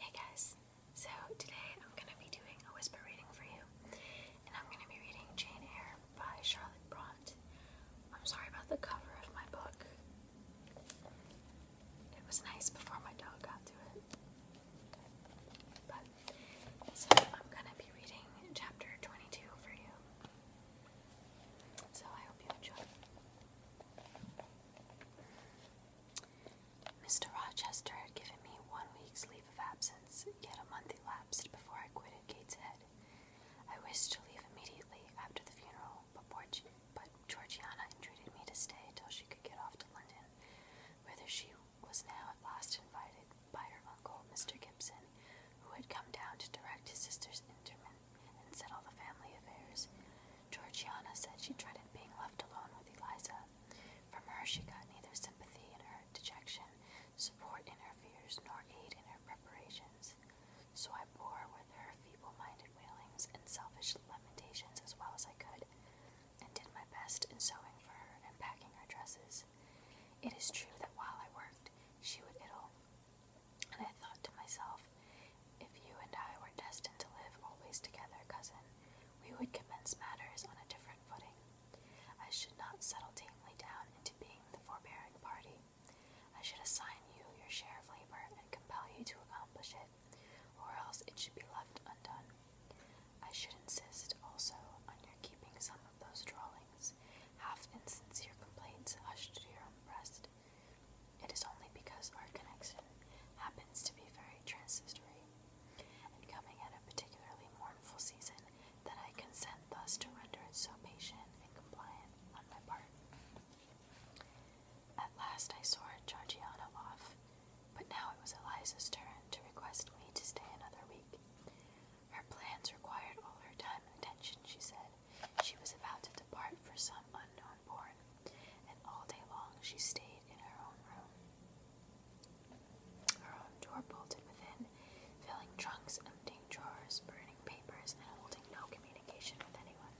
Hey guys, so today I'm going to be doing a whisper reading for you, and I'm going to be reading Jane Eyre by Charlotte Bront. I'm sorry about the cover of my book, it was nice before my dog got to it. But, so I'm going to be reading chapter 22 for you, so I hope you enjoy. Mr. Rochester had given me one week's leave of absence, yet a month elapsed before I quitted Gateshead. I wished to leave immediately after the funeral, but, but Georgiana entreated me to stay till she could get off to London, whither she was now at last invited by her uncle, Mr. Gibson, who had come down to direct his sister's interment. And and all the family affairs. Georgiana said she dreaded being left alone with Eliza. From her, she got neither sympathy in her dejection, support in her fears, nor aid in her preparations. So I bore with her feeble minded wailings and selfish lamentations as well as I could, and did my best in sewing for her and packing her dresses. It is true that while I worked, she would idle, and I thought to myself, if you and I were destined to live always together, cousin, we would commence matters on a different footing. I should not settle tamely down into being the forbearing party. I should assign you your share of labor and compel you to accomplish it, or else it should be left undone. I should insist also on your keeping some of those drawings, half insincere complaints hushed to your own breast, it is only because our connection happens to be very transitory and coming at a particularly mournful season that I consent thus to render it so patient and compliant on my part. At last I soared Georgiana off, but now it was Eliza's turn to request me to stay another week. Her plans required all her time and attention, she said, she was about to depart for some unknown port, and all day long she stayed in her own room. Her own door bolted within, filling trunks, emptying drawers, burning papers, and holding no communication with anyone.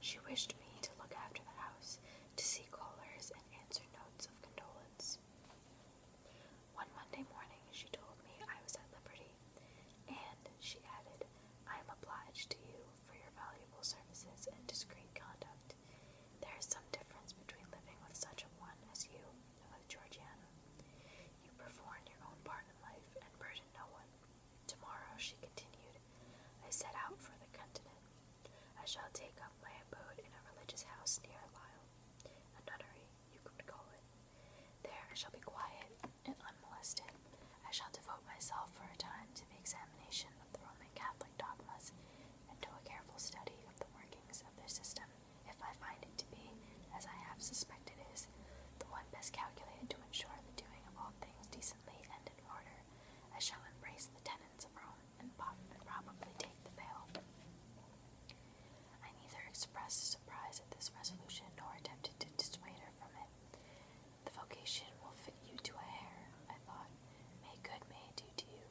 She wished me to look after the house, to see callers, and answer notes of condolence. One Monday morning, she told me I was at liberty, and, she added, I am obliged to you for your valuable services and discreet conduct. There is some difference between living with such a one as you and with Georgiana. You perform your own part in life and burden no one. Tomorrow, she continued, I set out for the continent. I shall take up my abode in a religious house near Lyle, a nunnery, you could call it. There I shall be quiet and unmolested. I shall devote myself for a time to the examination of the Roman Catholic dogmas and to a careful study of the workings of their system, if I find it to be, as I have suspected is, the one best calculated to ensure the doing of all things decently and in order. I shall embrace the tenets of Rome and probably take the veil. I neither expressed surprise at this resolution nor attempted to dissuade her from it. The vocation will fit you to a hair, I thought. May good may do to you.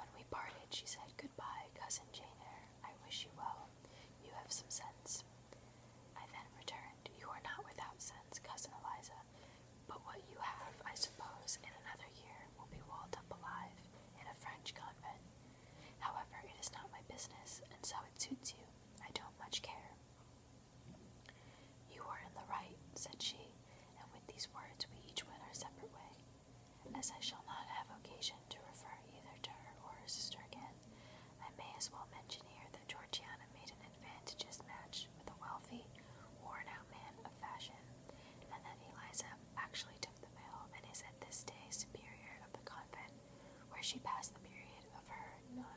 When we parted, she said, Goodbye, cousin Jane Eyre. I wish you well. You have some sense. I then returned, You are not without sense, cousin Eliza, but what you have, I suppose, in another year will be walled up alive in a French convent, However, it is not my business, and so it suits you. I don't much care. You are in the right, said she, and with these words we each went our separate way. As I shall not have occasion to refer either to her or her sister again, I may as well mention here that Georgiana made an advantageous match with a wealthy, worn out man of fashion, and that Eliza actually the mill and is at this day superior of the convent where she passed the period of her non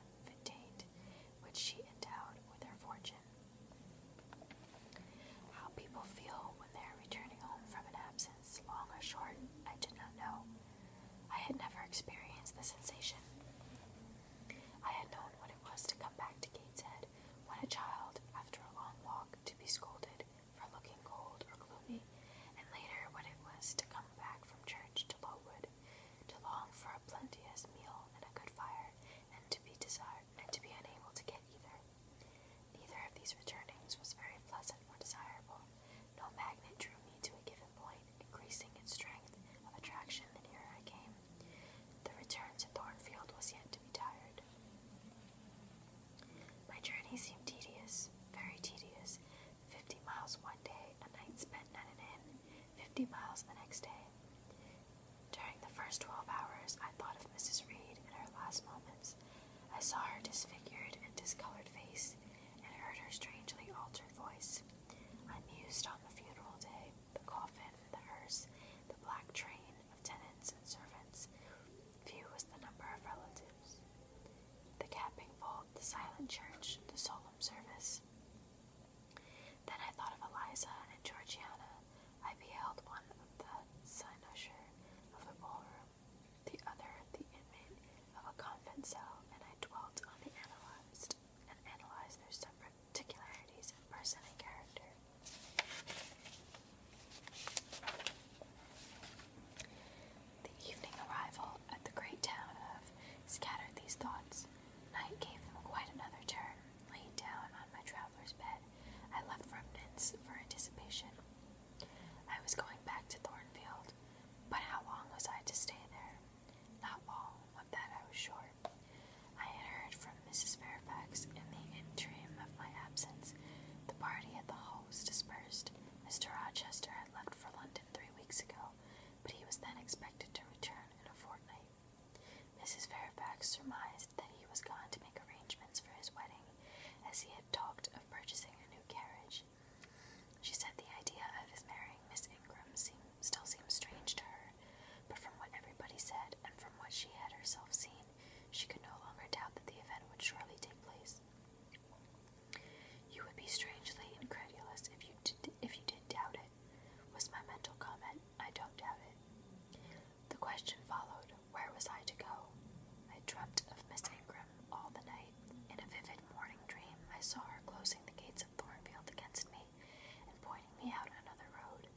which she endowed with her fortune. How people feel when they are returning home from an absence, long or short, I did not know. I had never experienced the sensation. I had known what it was to come back to Gateshead when a child, after a long walk, to be scolded for looking cold or gloomy, and later what it was to come back from church to Lowood, to long for a plenteous meal and a good fire, and to be desired and to be unable to get either. Neither of these returnings was very pleasant or desirable. No magnet drew me to a given point, increasing its strength of attraction the nearer I came. The return to Thornfield was yet to be tired. My journey seemed tedious, very tedious. Fifty miles one day, a night spent at an inn, fifty miles the next day. During the first twelve hours, I thought of Mrs. Reed in her last moments. I saw her disfigured and discolored face, and heard her strangely altered voice. I mused on the funeral day, the coffin, the hearse, the black train, of tenants and servants, few was the number of relatives. The capping vault, the silent church, the solemn service. Then I thought of Eliza and Georgiana. I beheld one of the cynosure of the ballroom, the other the inmate of a convent cell, and I dwelt on the analyzed and analyzed their separate particularities of person and character. The evening arrival at the great town of scattered these thoughts. Night gave them quite another turn. Laid down on my traveler's bed, I left remnants for anticipation. I was going back to Thornfield, but how long was I to stay there? Not long, of that I was sure. I had heard from Mrs. Fairfax in the interim of my absence. The party at the hall was dispersed. Mr. Rochester had left for London three weeks ago, but he was then expected to return in a fortnight. Mrs. Fairfax surmised that he was gone to make arrangements for his wedding, as he had talked of purchasing a new carriage. She said the idea of his marrying Miss Ingram still seemed strange to her, but from what everybody said and from what she had herself seen, she could no longer doubt that the event would surely take place. You would be strangely incredulous if you if you did doubt it, was my mental comment. I don't doubt it. The question followed, where was I to go? I dreamt of Miss Ingram all the night. In a vivid morning dream, I saw her closing the gates of Thornfield against me and pointing me out another road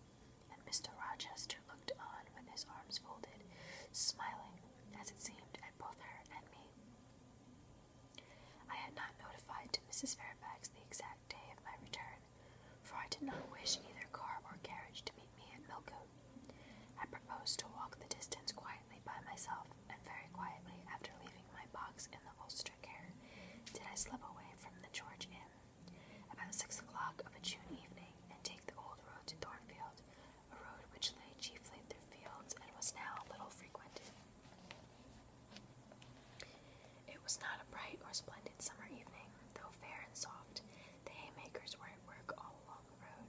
and Mr. Rochester looked on with his arms folded, smiling, as it seemed, at both her and me. I had not notified Mrs. Fairfax the exact day of my return, for I did not wish either car or carriage to meet me at Millcote. I proposed to walk the distance quietly by myself, and very quietly, after leaving my box in the Ulster care, did I slip away from the George Inn about six o'clock of a June evening, and take the old road to Thornfield, a road which lay chiefly through fields and was now little frequented. It was not a bright or splendid summer evening, though fair and soft. The haymakers were at work all along the road,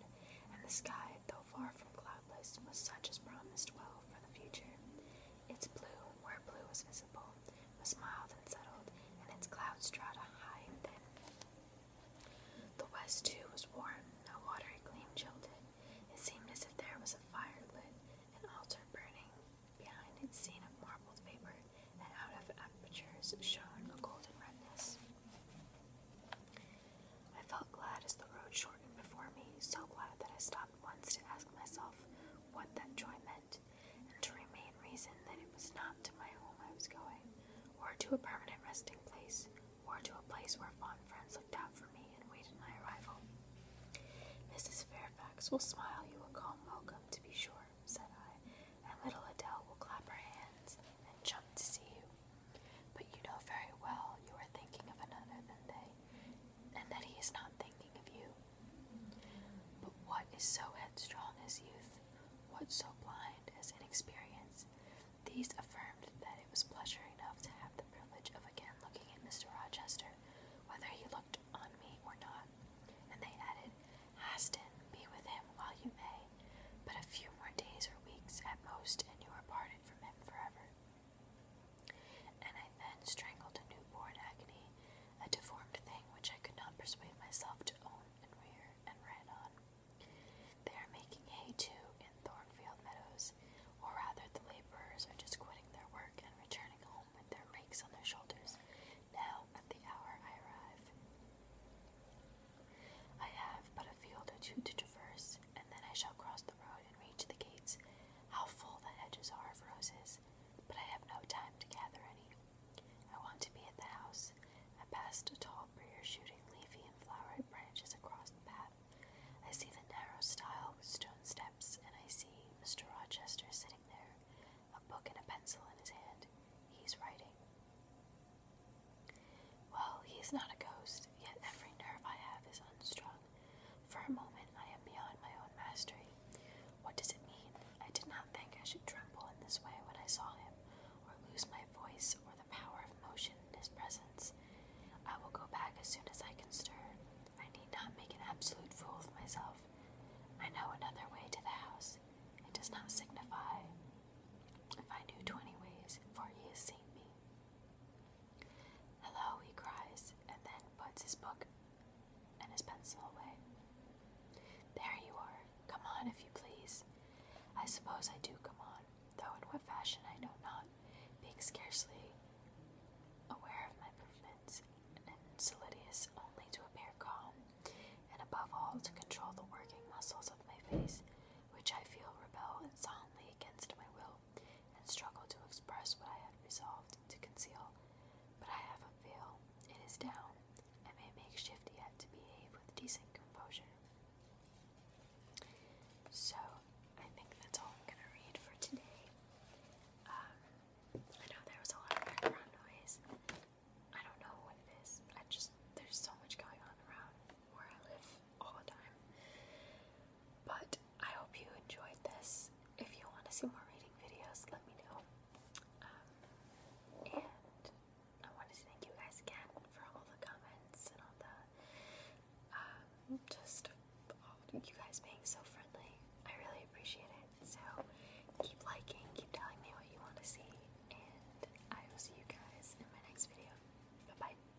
and the sky, though far from cloudless, was such as promised well for the future. Its blue, where blue was visible, was mild and settled, and its cloud strata high and thin. The west, too, was warm, a watery gleam chilled it. It seemed as if there was a fire lit, an altar burning behind its scene of marbled vapor, and out of apertures shone a golden redness. I felt glad as the road shortened before me, so glad that I stopped once to ask myself what that joy meant and to remain reason that it was not to my home I was going, or to a permanent resting place, or to a place where fond friends looked out for me and waited my arrival. Mrs. Fairfax will smile you a calm welcome, to be sure, said I, and little Adele will clap her hands and jump to see you. But you know very well you are thinking of another than they, and that he is not thinking of you. But what is so headstrong as youth? What so blind as inexperience? These affirmed that it was pleasure enough to have the privilege of again looking at Mr. Rochester, whether he looked on me or not. And they added, Haston, be with him while you may, but a few more days or weeks at most, and you are parted from him forever. And I then strangled a newborn agony, a deformed thing which I could not persuade myself to own and rear, and ran on. They are making hay too in Thornfield Meadows, or rather, the laborers are just quitting their work and returning home with their rakes on their shoulders. Now, at the hour I arrive, I have but a field or two to traverse, and then I shall cross the road and reach the gates, how full the hedges are of roses, but I have no time to gather any. I want to be at the house. I passed a tall briar shooting leafy and flowered branches across the path. I see the narrow stile with stone steps, and I see Mr. Rochester sitting there, a book and a pencil in his hand. He's writing. Well, he is not a ghost, yet every nerve I have is unstrung. For a moment, I am beyond my own mastery. What does it mean? I did not think I should tremble in this way when I saw him, or lose my voice or the power of motion in his presence. I will go back as soon as I can stir. I need not make an absolute fool of myself. I know another way to the house. It does not signify if I knew twenty ways, for he has seen me. Hello, he cries, and then puts his book and his pencil away. There you are. Come on, if you please. I suppose I do come on, though in what fashion I know not, being scarcely aware of my movements, and solicitous only to appear calm, and above all to control the working muscles of my face, which I feel rebel insolently against my will and struggle to express what I had resolved to conceal. But I have a feel It is down. I may make shift yet to behave with decent composure. So, I think that's all I'm going to read for today. Um, I know there was a lot of background noise. I don't know what it is. I just, there's so much going on around where I live all the time. But I hope you enjoyed this. If you want to see more reading videos, let me know. Um, and I want to thank you guys again for all the comments and all the um, just all you guys being so friendly. I really appreciate it. So keep liking, keep telling me what you want to see, and I will see you guys in my next video. Bye bye.